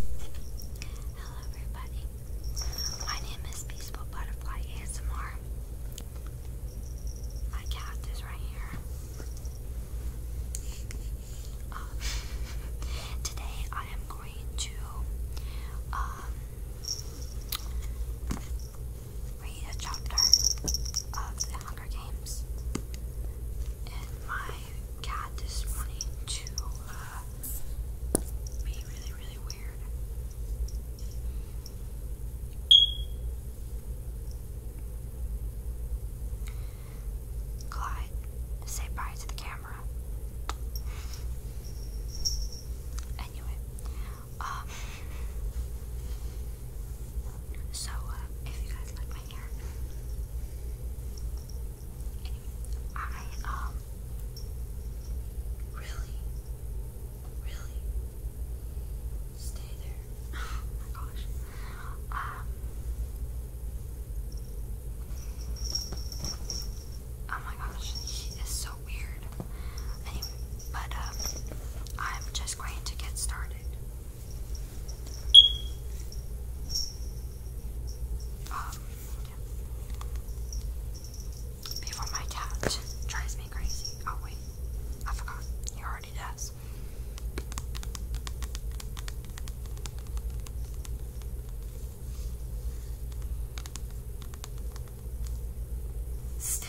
Hello everybody, my name is Peaceful Butterfly ASMR. My cat is right here. Uh, today I am going to um, read a chapter of the Hunger Games in my my this morning to uh, be really, really weird. Clyde, say bye to the camera. Anyway, um, so uh, if you guys like my hair, I um really, really stay there. Oh my gosh. Um Oh my gosh, she is so weird. Anyway, but um I'm just going to get started um, before my cat drives me crazy. Oh, wait, I forgot. He already does. Stay.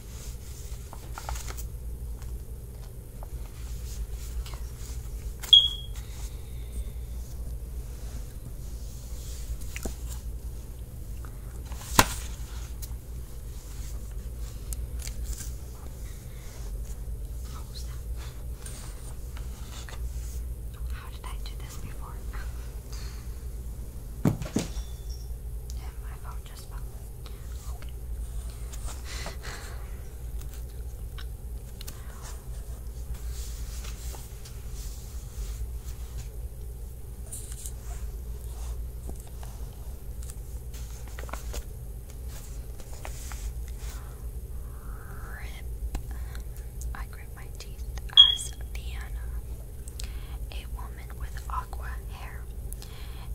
What was How did I do this before? yeah, my phone just fine. I grip my teeth as Vienna. A woman with aqua hair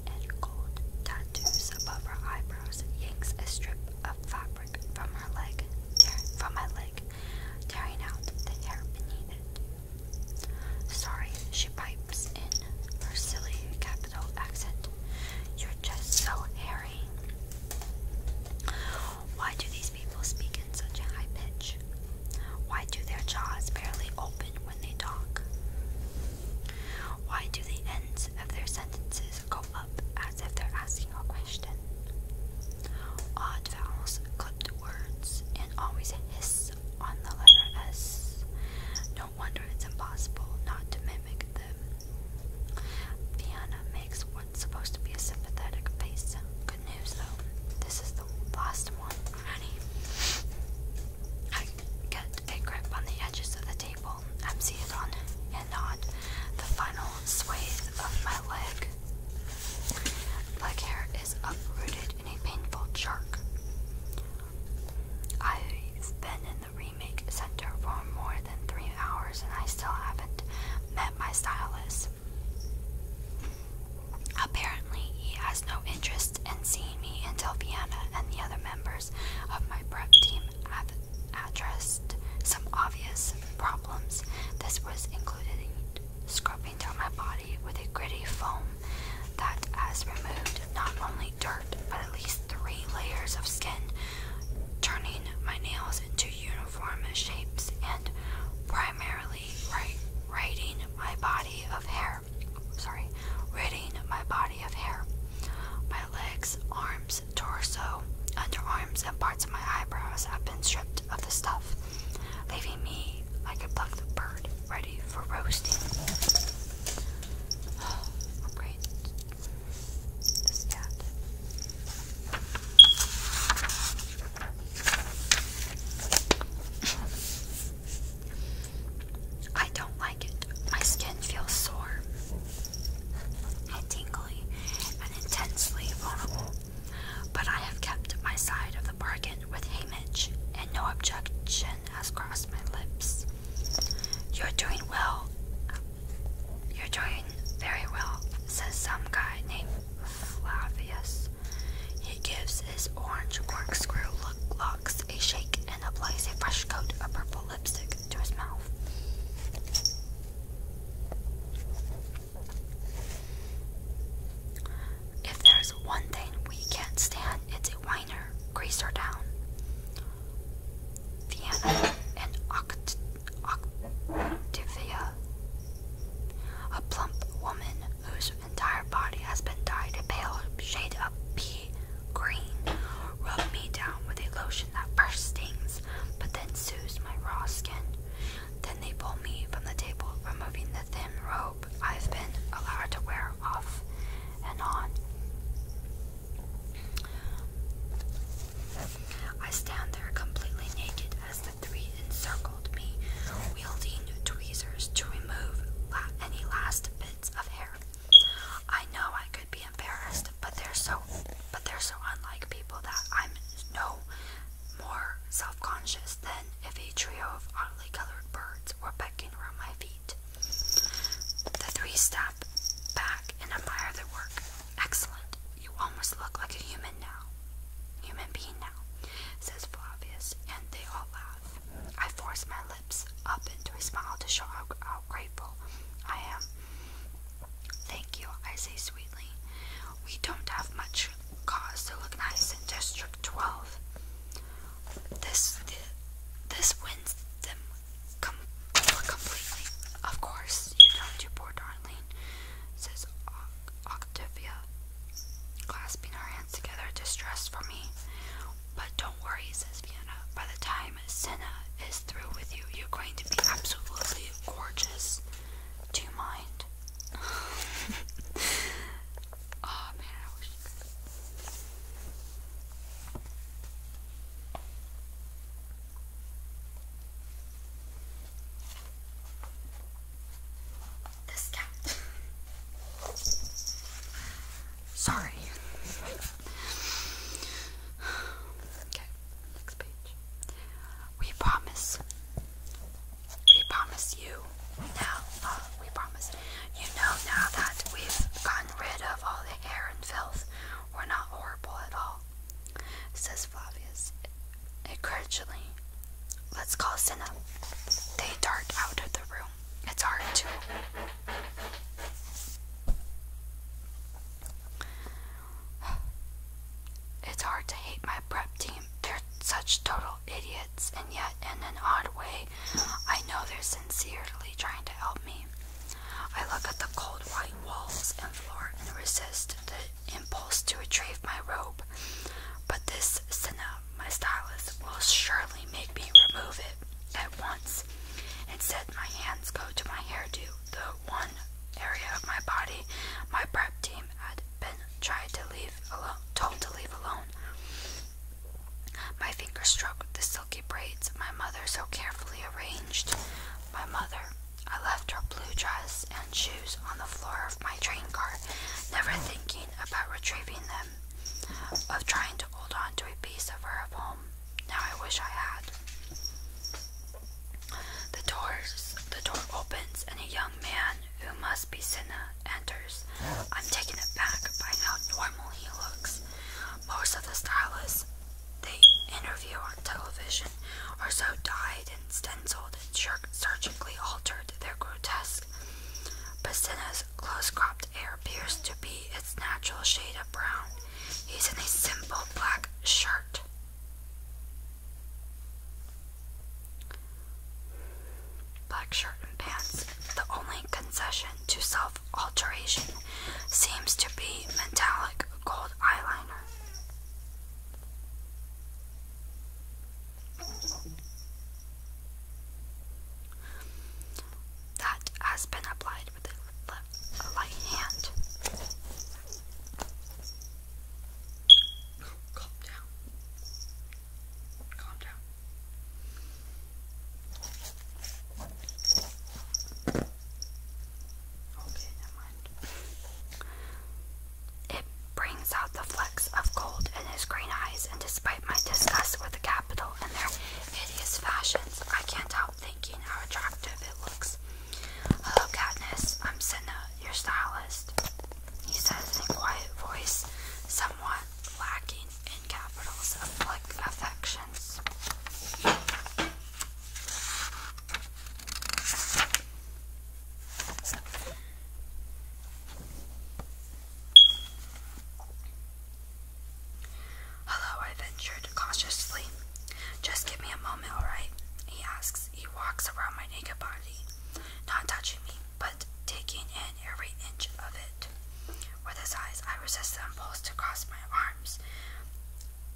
and gold tattoos above her eyebrows yanks a strip of fabric from her leg, from my leg, tearing out the hair beneath it. Sorry, she pipes in her silly capital accent. You're just so hairy. Why do these people speak in such a high pitch? Why do their jaws barely open when they talk? Why do the ends of their sentences go up as if they're asking a question? Odd vowels, clipped words, and always a hiss on the letter S. No wonder it's impossible not to mimic them. Fiona makes what's supposed to be a sympathetic face. Good news, though. This is last one already. I get a grip on the edges of the table, empty it on, and knot the final sway of my leg. Leg hair is uprooted in a painful jerk. I've been in the remake center for more than three hours and I still haven't met my stylist. Apparently, he has no interest in seeing me until Vienna and the other members of my prep team have addressed some obvious problems. This was included scrubbing down my body with a gritty foam that has removed not only dirt but at least three layers of skin, turning my nails into uniform shapes and primarily writing my body of hair hair. Sorry, ridding my body of hair. My legs, arms, torso, underarms, and parts of my eyebrows have been stripped of the stuff, leaving me like a plucked bird ready for roasting. Oh, great. This cat. I don't like it. My skin feels sore and tingly and intensely vulnerable. But I have kept my side of the bargain with Hamish, and no objection has crossed my lips. You're doing well. You're doing very well, says some guy named Flavius. He gives this orange corkscrew look locks a shake and applies a fresh coat of purple lipstick to his mouth. If there's one thing we can't stand, it's a whiner, greaser down. Vienna and Octavia, a plump woman whose entire body has been dyed a pale shade of pea green. Rub me down with a lotion that first stings, but then soothes my raw skin. Then they pull me from the table, removing the thin robe I've been allowed to wear off and on. I stand there completely naked as the three encircle me, wielding tweezers to remove any last bits of hair. I know I could be embarrassed, but they're so, but they're so unlike people that I'm no more self-conscious than if a trio of oddly colored birds were pecking around my feet. The three step back and admire their work. Excellent. You almost look like a human now. Human being now, says Flavius, and they all laugh. I force my lips up into a smile to show how, grateful I am. Thank you, I say sweetly. We don't have much cause to look nice in District 12. This, this wins them completely. Of course, you don't, you poor darling, says Octavia, clasping her together distress for me. But don't worry, says Vienna. By the time Senna is through with you, you're going to be absolutely gorgeous. Do you mind? oh man, I wish this cat. Sorry. Okay, next page. We promise. We promise you now. Uh, we promise. You know now that we've gotten rid of all the air and filth. We're not horrible at all, says Flavius encouragingly. Let's call Cinna. They dart out of the room. It's hard to. It's hard to hate my prep team. They're such total idiots, and yet, in an odd way, I know they're sincerely trying to help me. I look at the cold white walls and floor and resist the impulse to retrieve my robe. But this Senna my stylist will surely make me remove it at once. Instead, my hands go to my hairdo, the one area of my body my prep team had been tried to leave alone, told to leave alone. My finger struck the silky braids my mother so carefully arranged. My mother. I left her blue dress and shoes on the floor of my train car, never thinking about retrieving them, of trying to hold on to a piece of her home. Now I wish I had. The doors the door opens and a young man who must be Cinna enters. I'm taking it back by how normal he looks. Most of the stylists they interview on television are so dyed and stenciled and surgically altered their grotesque mask. close cropped hair appears to be its natural shade of brown. He's in a simple black shirt. Black shirt and pants. The only concession to self alteration seems to be metallic gold eyeliner that has been applied with a light hand. Calm down. Calm down. Okay, never mind. It brings out the flecks of gold in his green eyes, and despite my disgust with the capital and their hideous fashions, I can't help thinking how attractive it looks. Hello, Katniss. I'm Senna, your stylist. He says in a quiet voice, somewhat lacking in capitals of affections. Hello, I ventured cautiously. Just give me a moment, alright? He asks. He walks around my naked body, not touching me, but taking in every inch of it. With his eyes, I resist the impulse to cross my arms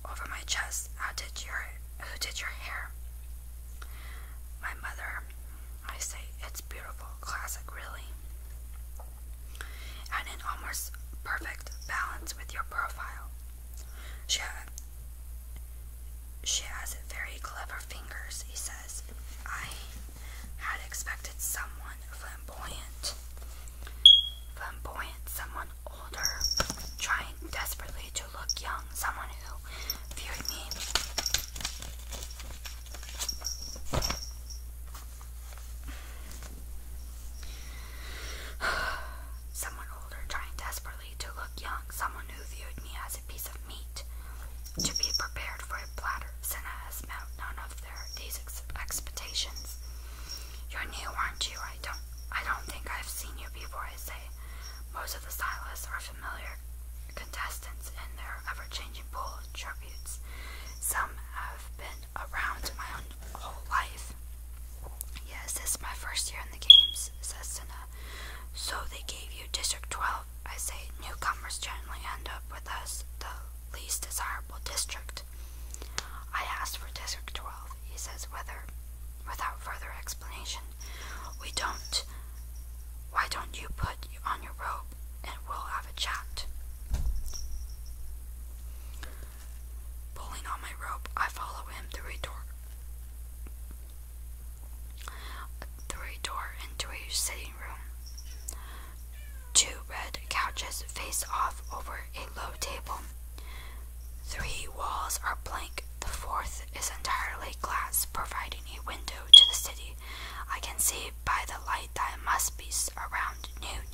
over my chest. How did your who did your hair? My mother. I say it's beautiful, classic, really, and in almost perfect balance with your profile. She, she has very clever fingers, he says. I had expected someone flamboyant, flamboyant, someone older, trying desperately to to look young, someone who viewed me as a piece of meat to be prepared for a platter, Senna has met none of their expectations. You're new, aren't you? I don't I don't think I've seen you before, I say. Most of the stylists are familiar contestants in their ever changing pool of tributes. Some have been around my whole life. Yes, this is my first year in the games, says Cinna. So they gave you District 12. I say newcomers generally end up with us, the least desirable district. I asked for District 12, he says, whether, without further explanation. We don't why don't you put on your robe and we'll have a chat? Pulling on my robe, I follow him through a door. Through a door into a sitting room. Two red couches face off over a low table. Three walls are blank the fourth is entirely glass, providing a window to the city. I can see by the light that it must be around noon,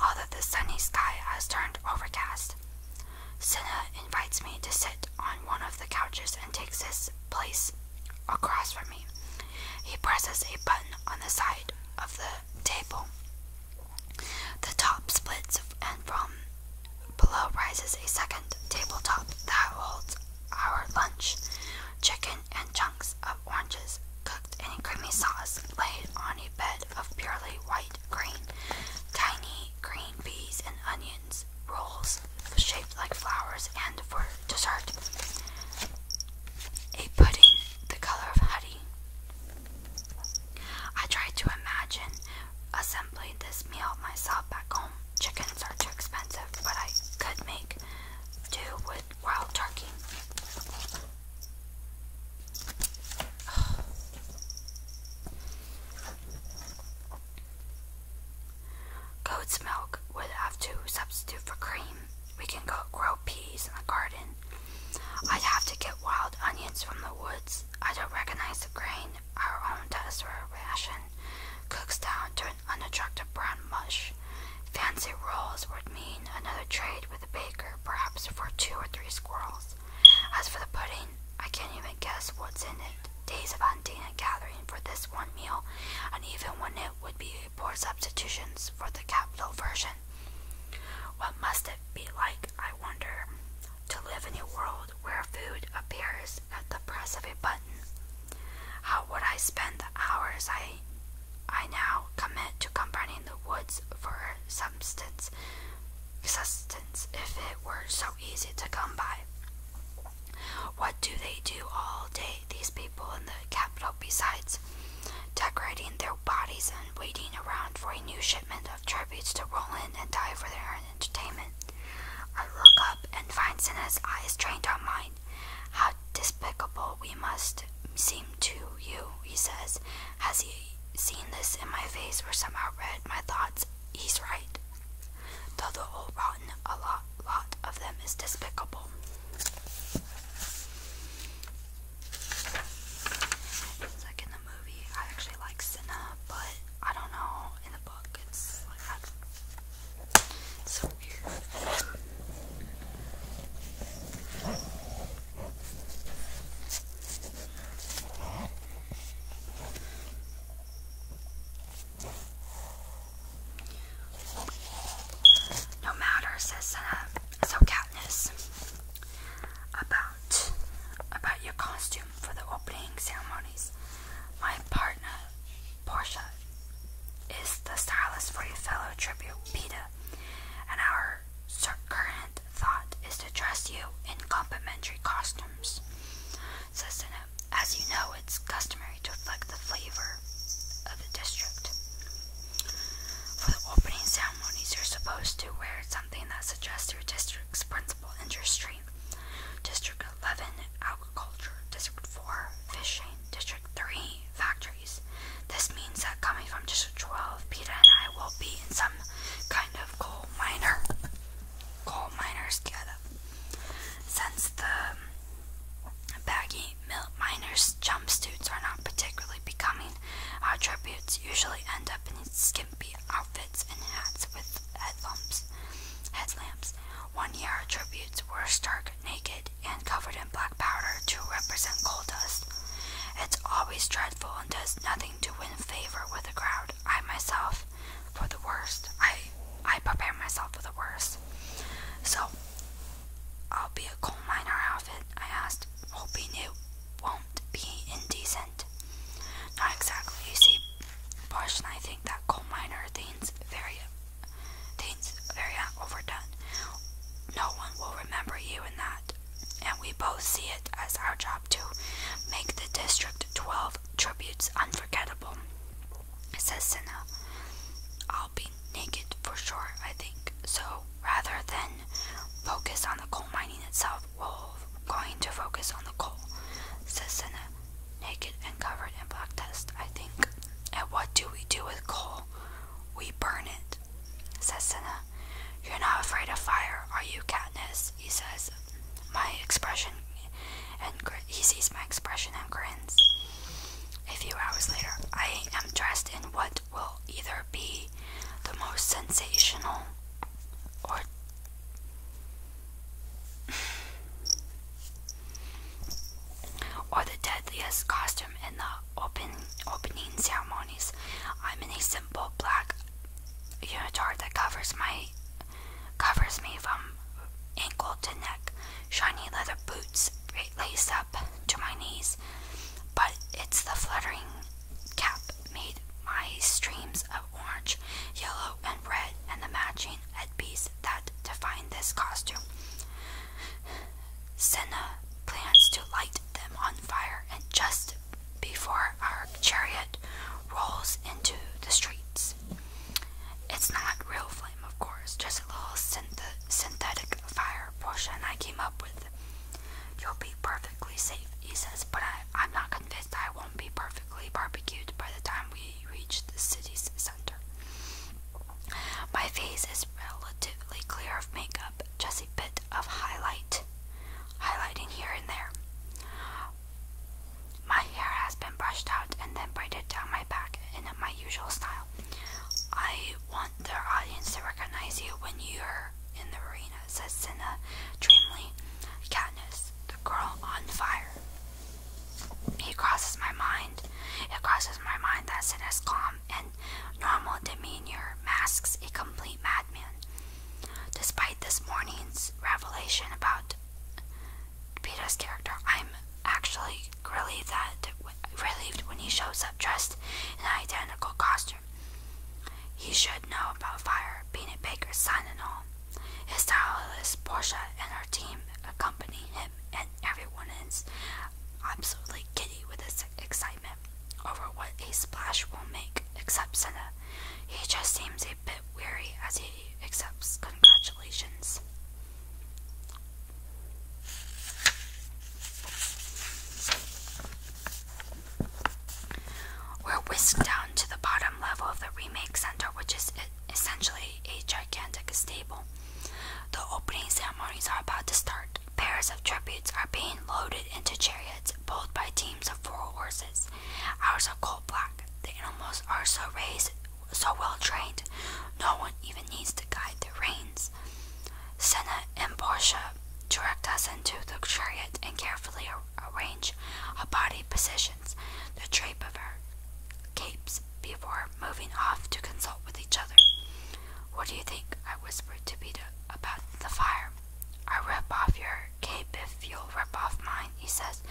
although the sunny sky has turned overcast. Cinna invites me to sit on one of the couches and takes his place across from me. He presses a button on the side of the table. The top splits, and from below rises a second tabletop that holds our lunch chicken and chunks of oranges cooked in a creamy sauce laid on a bed of purely white green, tiny green peas and onions, rolls shaped like flowers, and for dessert, a pudding the color of honey. I tried to imagine assembly this meal myself back home. Chickens are too expensive, but I could make do with wild turkey. Goat's milk would have to substitute for cream. We can go grow peas in the garden. I'd have to get wild onions from the woods. I don't recognize the grain our own test ration cooks down to an unattractive brown mush. Fancy rolls would mean another trade with the baker, perhaps for two or three squirrels. As for the pudding, I can't even guess what's in it. Days of hunting and gathering for this one meal, and even when it would be poor substitutions for the capital version. What must it be like, I wonder, to live in a world where food appears at the press of a button. How would I spend the hours I I now commit to combining the woods for substance sustenance if it were so easy to come by? What do they do all day, these people in the capital, besides decorating their bodies and waiting around for a new shipment of tributes to roll in and die for their entertainment. I look up and find Senna's eyes trained on mine. How despicable we must seem to you, he says. Has he seen this in my face or somehow read my thoughts? He's right. Though the old rotten, a lot, lot of them is despicable. like in the movie, I actually like Senna, but I don't know so weird. No matter, says uh, so Katniss, about about your costume for the opening ceremonies. My part Portia, is the stylist for your fellow tribute, Peter, and our current thought is to dress you in complimentary costumes, says As you know, it's customary to reflect the flavor of the district. For the opening ceremonies, you're supposed to wear something that suggests your district's principal industry, district 11 agriculture, district 4 fishing, district 3 factories. This means that coming from district 12, Peter and I will be in some kind of coal miner. Coal miners together. Since the baggy miners' jump suits are not particularly becoming, our tributes usually end up in skimpy outfits and hats with headlamps. headlamps. One year tributes were stark naked and covered in black powder to represent coal dust. It's always dreadful and does nothing to win favor with the crowd. I myself, for the worst, I I prepare myself for the worst. So, I'll be a coal miner outfit. I asked, hoping it won't be indecent. Not exactly. You see, Bosch and I think that coal miner thing's very, thing's very uh, overdone. No one will remember you in that, and we both see it as our job to make the District 12 tributes unforgettable. Says Senna. I'll be naked for sure, I think. So rather than focus on the coal mining itself, we're going to focus on the coal, says Senna naked and covered in black dust, I think. And what do we do with coal? We burn it, says Senna. You're not afraid of fire, are you, Katniss? He says. My expression, and he sees my expression and grins. A few hours later, I am dressed in what will either be the most sensational or or the deadliest costume in the opening ceremonies. I'm in a simple black unitard that covers my covers me from ankle to neck. Shiny leather boots lace up to my knees, but it's the fluttering cap made my streams orange, yellow, and red, and the matching headpiece that defined this costume. Senna plans to light them on fire, and just before our chariot rolls into the streets. It's not real flame, of course, just a little synthetic fire portion I came up with. You'll be perfectly safe, he says, but I, I'm not convinced I won't be perfectly barbecued by the time we reach the city's center. My face is relatively clear of makeup, just a bit of highlight, highlighting here and there. My hair has been brushed out and then braided down my back in my usual style. I want the audience to recognize you when you're in the arena, says Cinna dreamily. Katniss, the girl on fire. It crosses my mind. It crosses my mind that Sida's calm and normal demeanor masks a complete madman. Despite this morning's revelation about Peter's character, I'm actually relieved that relieved when he shows up dressed in an identical costume. He should know about fire, being a baker's son and all. His stylist Portia and her team accompany him, and everyone is absolutely giddy with excitement over what a splash will make, except Senna. He just seems a bit weary as he accepts congratulations. We're whisked down to the bottom level of the remake center, which is essentially a gigantic stable. The opening ceremonies are about to start. Pairs of tributes are being loaded into chariots, pulled by teams of four horses. Ours are coal black. The animals are so raised, so well trained, no one even needs to guide the reins. Senna and Portia direct us into the chariot and carefully arrange a body position the trape of our capes before moving off to consult with each other. What do you think? I whispered to Peter about the fire. I rip off your cape if you'll rip off mine, he says.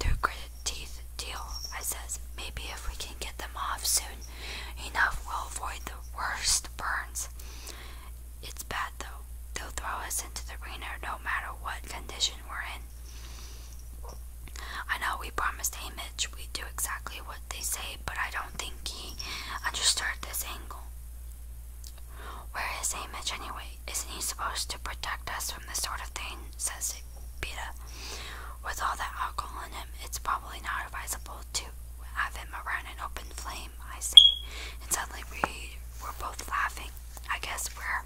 Through gritted teeth, deal, I says. Maybe if we can get them off soon enough, we'll avoid the worst burns. It's bad though. They'll throw us into the arena no matter what condition we're in. I know we promised Hamish we do exactly what they say, but I don't think he understood this angle. Where is Hamish anyway? Isn't he supposed to protect us from this sort of thing? says Peter. With all that alcohol in him, it's probably not advisable to have him around an open flame, I say, and suddenly we are both laughing. I guess we're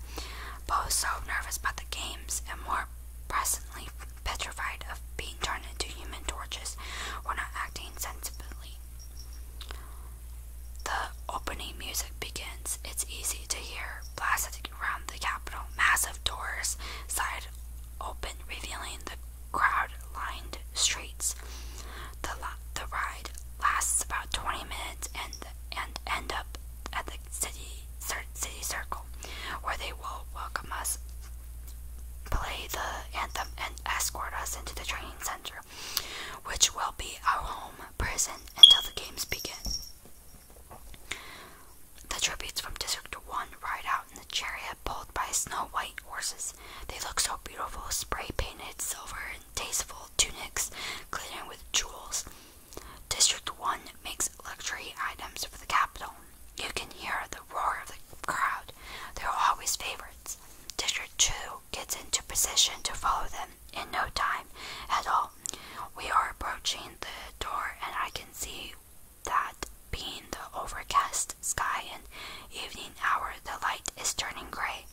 both so nervous about the games and more presently petrified of being turned into human torches. We're not acting sensibly. The opening music begins. It's easy to hear blasted around the capital. Massive doors slide open, revealing the crowd-lined streets. The, the ride lasts about 20 minutes and and end up at the city city circle, where they will welcome us, play the anthem, and escort us into the training center, which will be our home prison until the games begin. The tributes from District 1 ride out in the chariot pulled by snow white horses. They look so beautiful, spray painted silver tasteful tunics glittering with jewels. District 1 makes luxury items for the capital. You can hear the roar of the crowd. They're always favorites. District 2 gets into position to follow them in no time at all. We are approaching the door, and I can see that being the overcast sky and evening hour, the light is turning gray.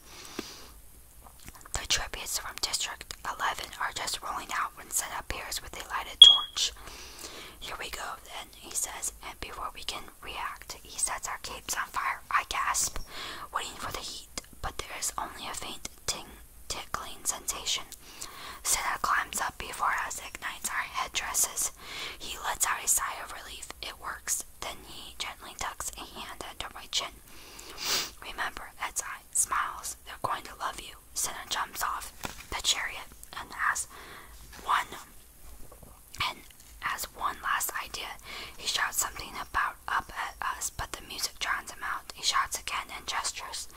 The tributes from District 11 are just rolling out when Sen appears with a lighted torch. Here we go, then, he says, and before we can react, he sets our capes on fire. I gasp, waiting for the heat, but there is only a faint ting tickling sensation. Senna climbs up before us, and ignites our headdresses. He lets out a sigh of relief. It works. Then he gently tucks a hand under my chin. Remember, as I smiles, they're going to love you. Senna jumps off the chariot and has one and as one last idea, he shouts something about up at us, but the music drowns him out. He shouts again and gestures.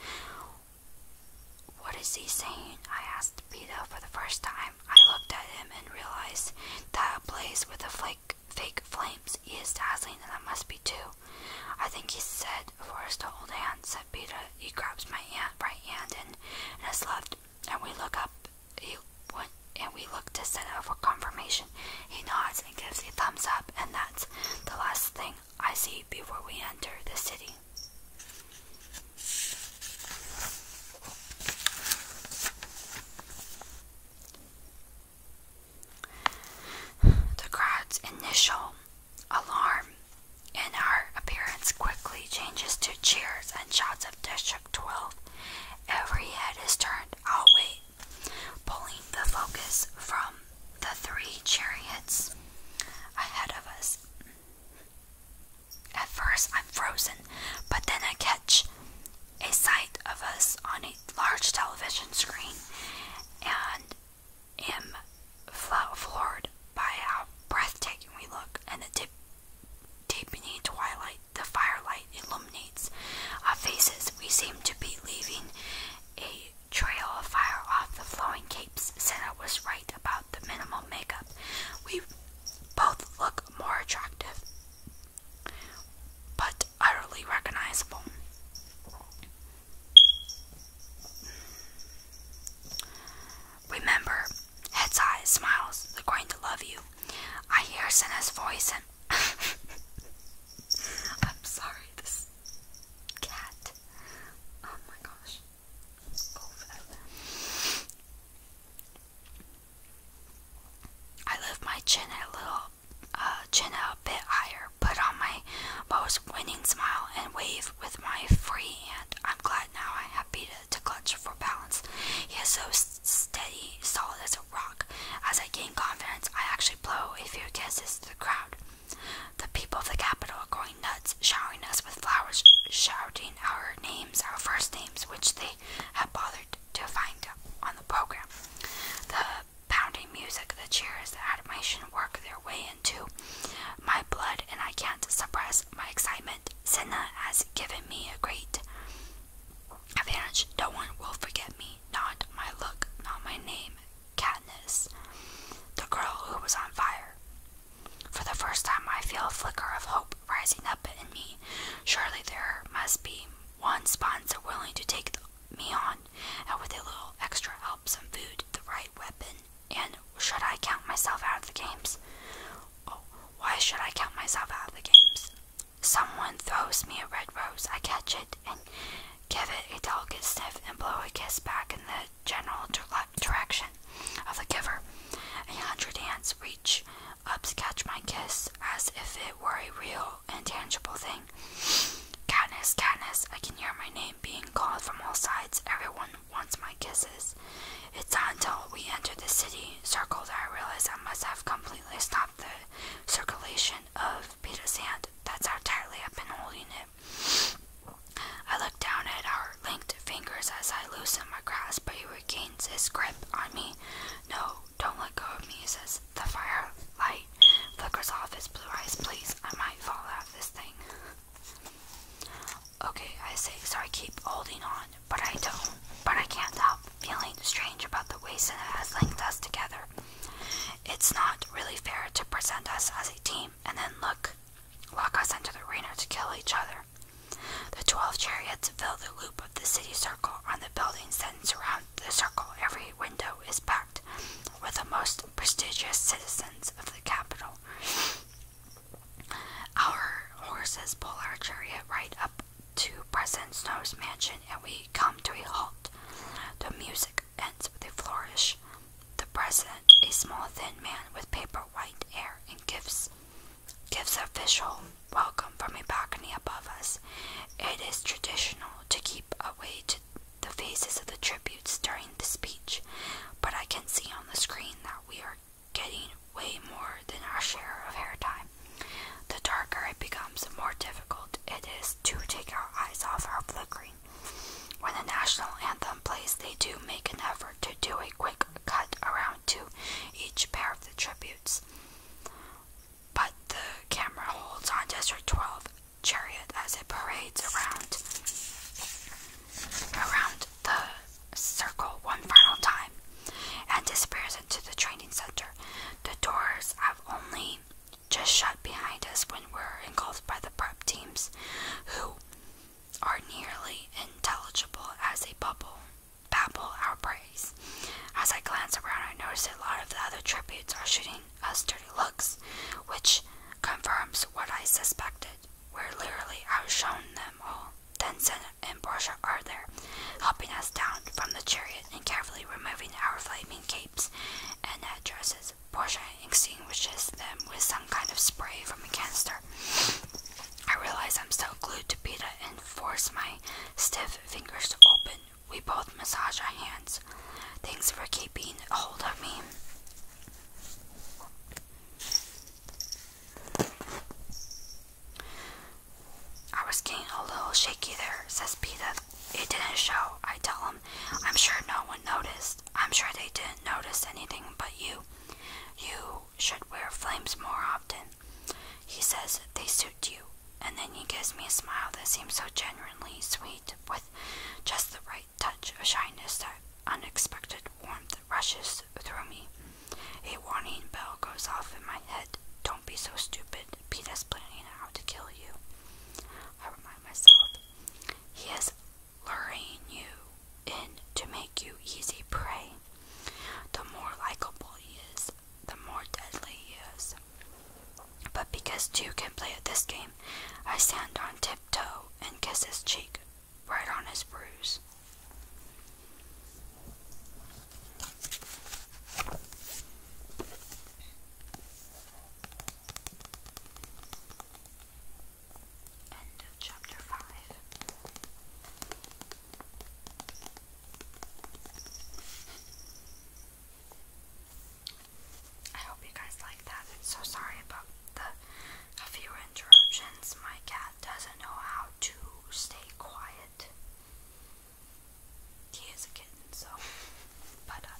What is he saying? I asked Pito for the first time. I looked at him and realized that a blaze with a flake fake, flames. He is dazzling, and I must be too. I think he said for us to hold hands, said Peter. He grabs my right hand and, and his left, and we look up. He and we look to set up for confirmation. He nods and gives a thumbs up, and that's the last thing I see before we enter the city. The crowd's initial alarm in our appearance quickly changes to cheers and shouts of District 12. Every head is turned our pulling the focus from the three chariots ahead of us. At first, I'm frozen, but then I catch a sight of us on a large television screen and am floored by how breathtaking we look and the deepening twilight the firelight illuminates our faces. We seem to be leaving a trail of fire off the flowing capes. Said I was right about the minimal makeup. We both look more attractive. But utterly recognizable. Remember, heads high, smiles, they're going to love you. I hear Senna's voice and I'm sorry, this cat. Oh my gosh. Go for that. I lift my chin a little uh, chin out a bit higher, put on my most winning smile, and wave with my free hand. I'm glad now I have Peter to clutch for balance. He is so steady, solid as a rock. As I gain confidence, I actually blow a few kisses to the crowd. The people of the capital are going nuts, showering us with flowers, shouting our names, our first names, which they have bothered to find on the program pounding music, the cheers, the animation work their way into my blood, and I can't suppress my excitement. Senna has given me a great advantage. No one will forget me, not my look, not my name. Katniss, the girl who was on fire. For the first time, I feel a flicker of hope rising up in me. Surely there must be one sponsor willing to take me on, and uh, with a little extra help, some food, the right weapon, and should I count myself out of the games? Oh, why should I count myself out of the games? Someone throws me a red rose, I catch it and give it a delicate sniff and blow a kiss back in the general direction of the giver. A hundred hands reach up to catch my kiss as if it were a real and tangible thing. Katniss, Katniss, I can hear my name being called from all sides. Everyone wants my kisses. It's not until we enter the city circle that I realize I must have completely stopped the circulation of Peter's hand. That's how tightly I've been holding it. I look down at our linked fingers as I loosen my grasp, but he regains his grip on me. No, don't let go of me, he says the firelight flickers off his blue eyes. Please, I might fall out of this thing. Okay, I say, so I keep holding on, but I don't, but I can't help feeling strange about the way Senna has linked us together. It's not really fair to present us as a team and then look, lock us into the arena to kill each other. The twelve chariots fill the loop of the city circle on the buildings that surround um, the circle, every window is packed with the most prestigious citizens of the capital. Our horses pull our chariot right up to President Snow's mansion, and we come to a halt. The music ends with a flourish. The president, a small thin man with paper white hair and gives gives a official welcome from a balcony above us. It is traditional to keep away to the faces of the tributes during the speech, but I can see on the screen that we are getting way more than our share of airtime. The darker it becomes, the more difficult it is to take our eyes off our flickering. When the national anthem plays, they do make an effort to do a quick cut around to each pair of the tributes but the camera holds on District 12 chariot as it parades around around the circle one final time and disappears into the training center. The doors have only just shut behind us when we're engulfed by the prep teams who are nearly intelligible as a bubble babble our praise. As I glance around, I notice a lot of the other tributes are shooting us dirty looks, which confirms what I suspected. Where literally I was shown them all. Then, Tencent and Portia are there, helping us down from the chariot and carefully removing our flaming capes and head dresses. Portia extinguishes them with some kind of spray from a canister. I realize I'm still glued to Peta and force my stiff fingers to open we both massage our hands. Thanks for keeping hold of me. I was getting a little shaky there, says Peter. It didn't show, I tell him. I'm sure no one noticed. I'm sure they didn't notice anything but you. You should wear flames more often. He says, They suit you. And then he gives me a smile that seems so genuinely sweet, with just the right touch of shyness that unexpected warmth rushes through me. A warning bell goes off in my head. Don't be so stupid. Peter's planning how to kill you. I remind myself. He is luring you in to make you easy prey. The more likable he is, the more deadly he is. But because you can play at this game, I stand on tiptoe and kiss his cheek right on his bruise. I hope you guys like that. So sorry about the a few interruptions. My cat doesn't know how to stay quiet. He is a kitten, so but uh,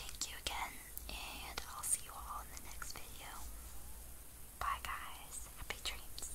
thank you again and I'll see you all in the next video. Bye guys. Happy dreams.